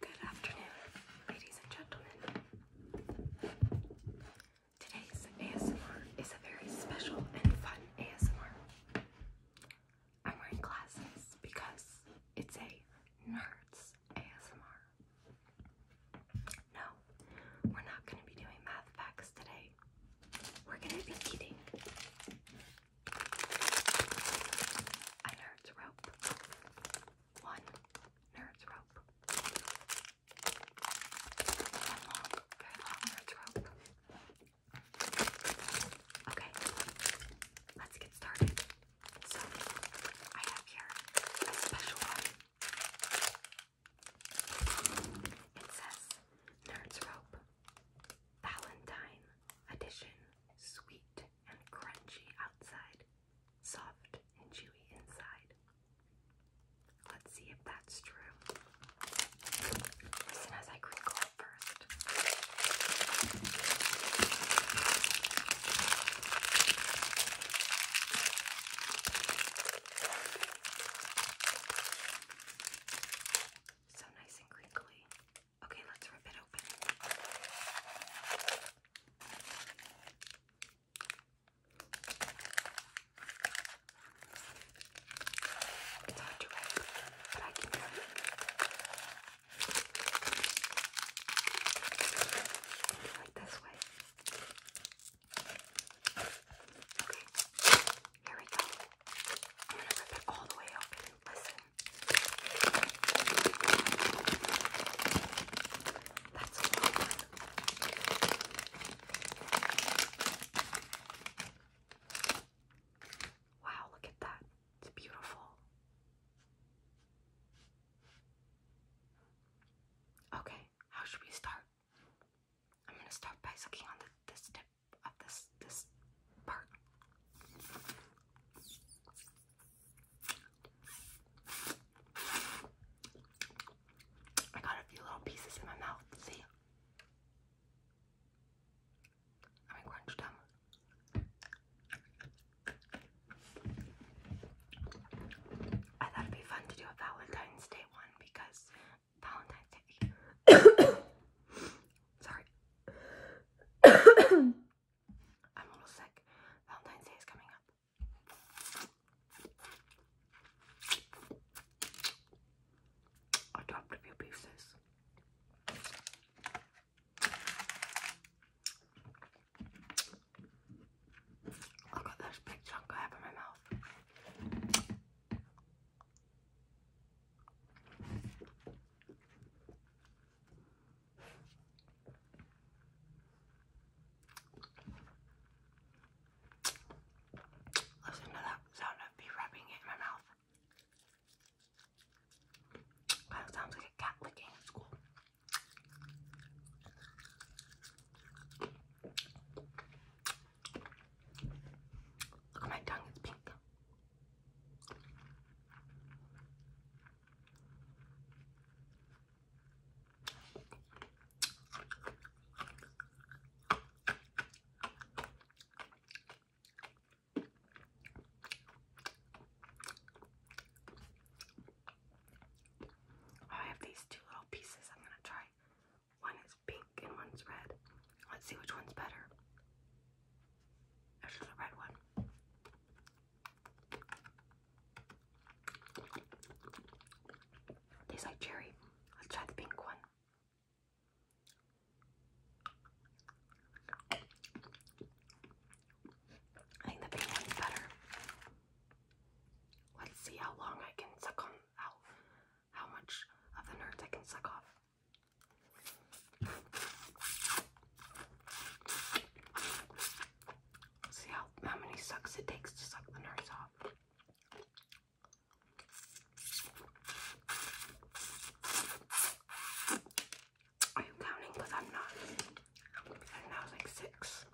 Good afternoon, ladies and gentlemen. Today's ASMR is a very special and fun ASMR. I'm wearing glasses because it's a nerds ASMR. No, we're not going to be doing math facts today. We're going to be eating a nerd's rope. One nerd's rope. One long, nerd's rope. Okay, let's get started. So, I have here a special one. It says Nerds Rope Valentine Edition Sweet and crunchy outside, soft and chewy inside. Let's see if that's true. Listen as I crinkle it first. So nice and crinkly. Okay, let's rip it open. It's hard to rip, but I can do it. Do it this way. Okay, here we go. I'm gonna rip it all the way open. Listen. That's Wow, look at that. It's beautiful. Okay, how should we start? I'm gonna start by sucking on the, this tip of this this part. I got a few little pieces in my mouth. See? I mean, crunch them. I thought it'd be fun to do a Valentine's Day one because Valentine's Day. Sorry. I'm a little sick. Valentine's Day is coming up. I dropped a few pieces. I got this big chunk I have my mouth. Listen to that sound of me rubbing it in my mouth. Kind sounds like a cat licking at school. Look my tongue, it's pink. Oh, I have these two little pieces I'm going to try. One is pink and one's red. Let's see which one's better. Actually, the red one. Tastes like cherry. Let's try the pink one. I think the pink one's better. Let's see how long I can suck on how how much of the nerds I can suck off. See how, how many sucks it takes to suck the nurse off. Are you counting? Because I'm not. And that was like six.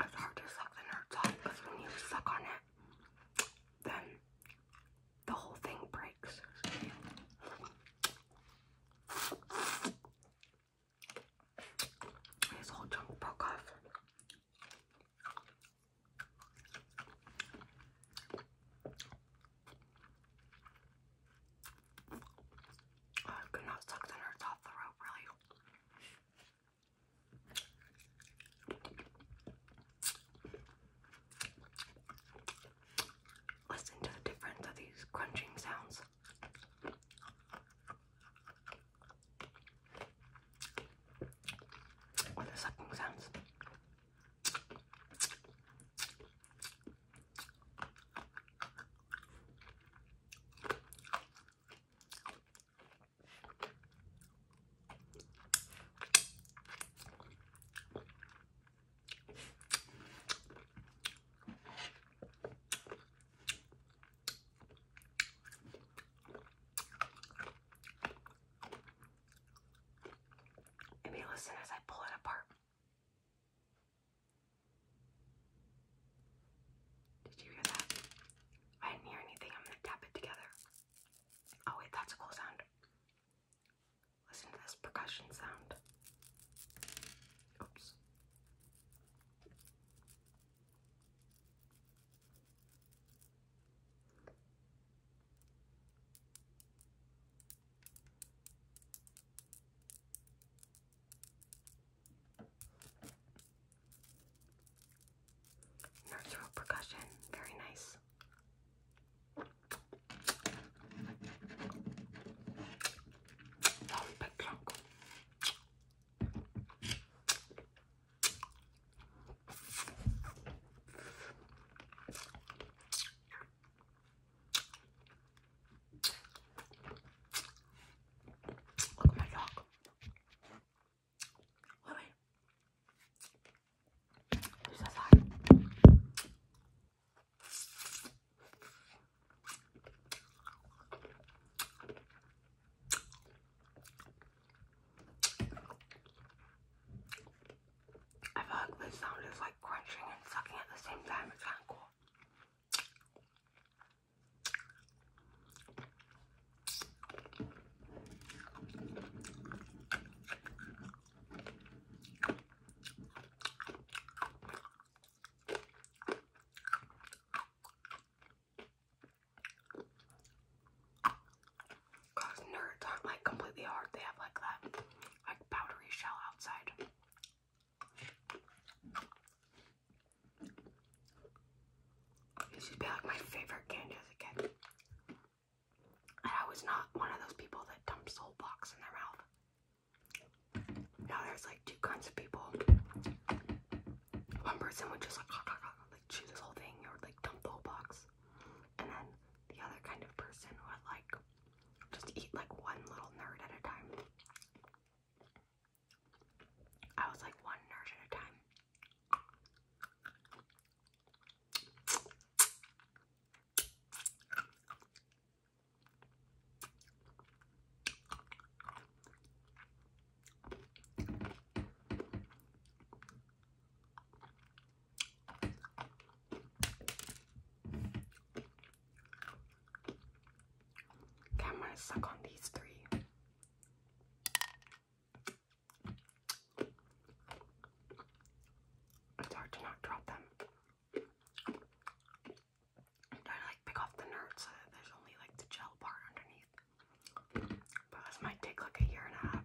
It's hard to suck the nerds off because when you suck on it, then the whole thing breaks. His whole chunk broke off. I could not suck the nerds off the rope really Listen to the difference of these crunching sounds. Or the sucking sounds. Maybe listen as I pull it apart. Did you hear that? I didn't hear anything. I'm gonna tap it together. Oh, wait, that's a cool sound. Listen to this percussion sound. Oops. Natural percussion, very nice. Look at my dog. Lily. She's alive. I feel like this sound is like crunching and sucking at the same time. It's kind of cool. Cause nerds aren't like completely hard. They have like that like powdery shell outside. This used be like my favorite candy as I was not one of those people that dumps the whole box in their mouth. Now there's like two kinds of people. One person would just like chew this whole thing or like dump the whole box. And then the other kind of person would like just eat like one little nerd at a time. I was like one nerd at a time. Camera suck on these three. It's hard to not drop them. I'm to like pick off the nerds so that there's only like the gel part underneath. But this might take like a year and a half.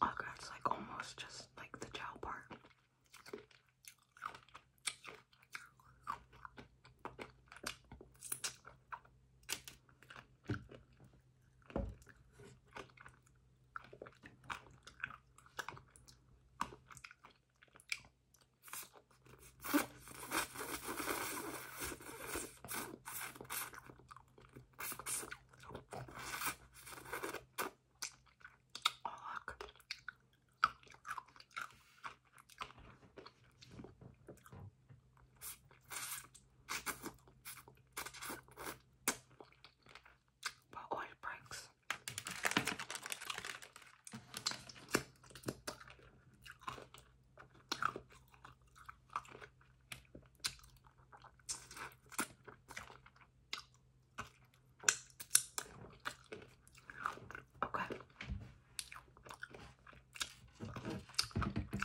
Oh, that's like almost just like the gel part. Oh, oil breaks. Okay.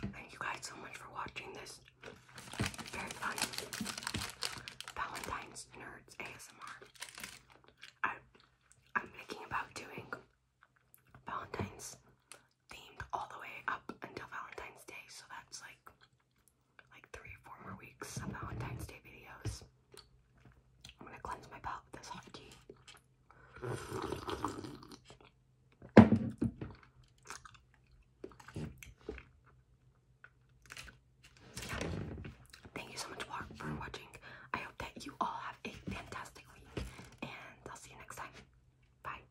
Thank you guys so much for watching this very fun Valentine's Nerds ASMR. I, I'm thinking about doing Valentine's themed all the way up until Valentine's Day, so that's like like three, four more weeks of Valentine's Day videos. I'm gonna cleanse my palate with this hot So yeah, thank you so much for watching. I hope that you all have a fantastic week, and I'll see you next time. Bye.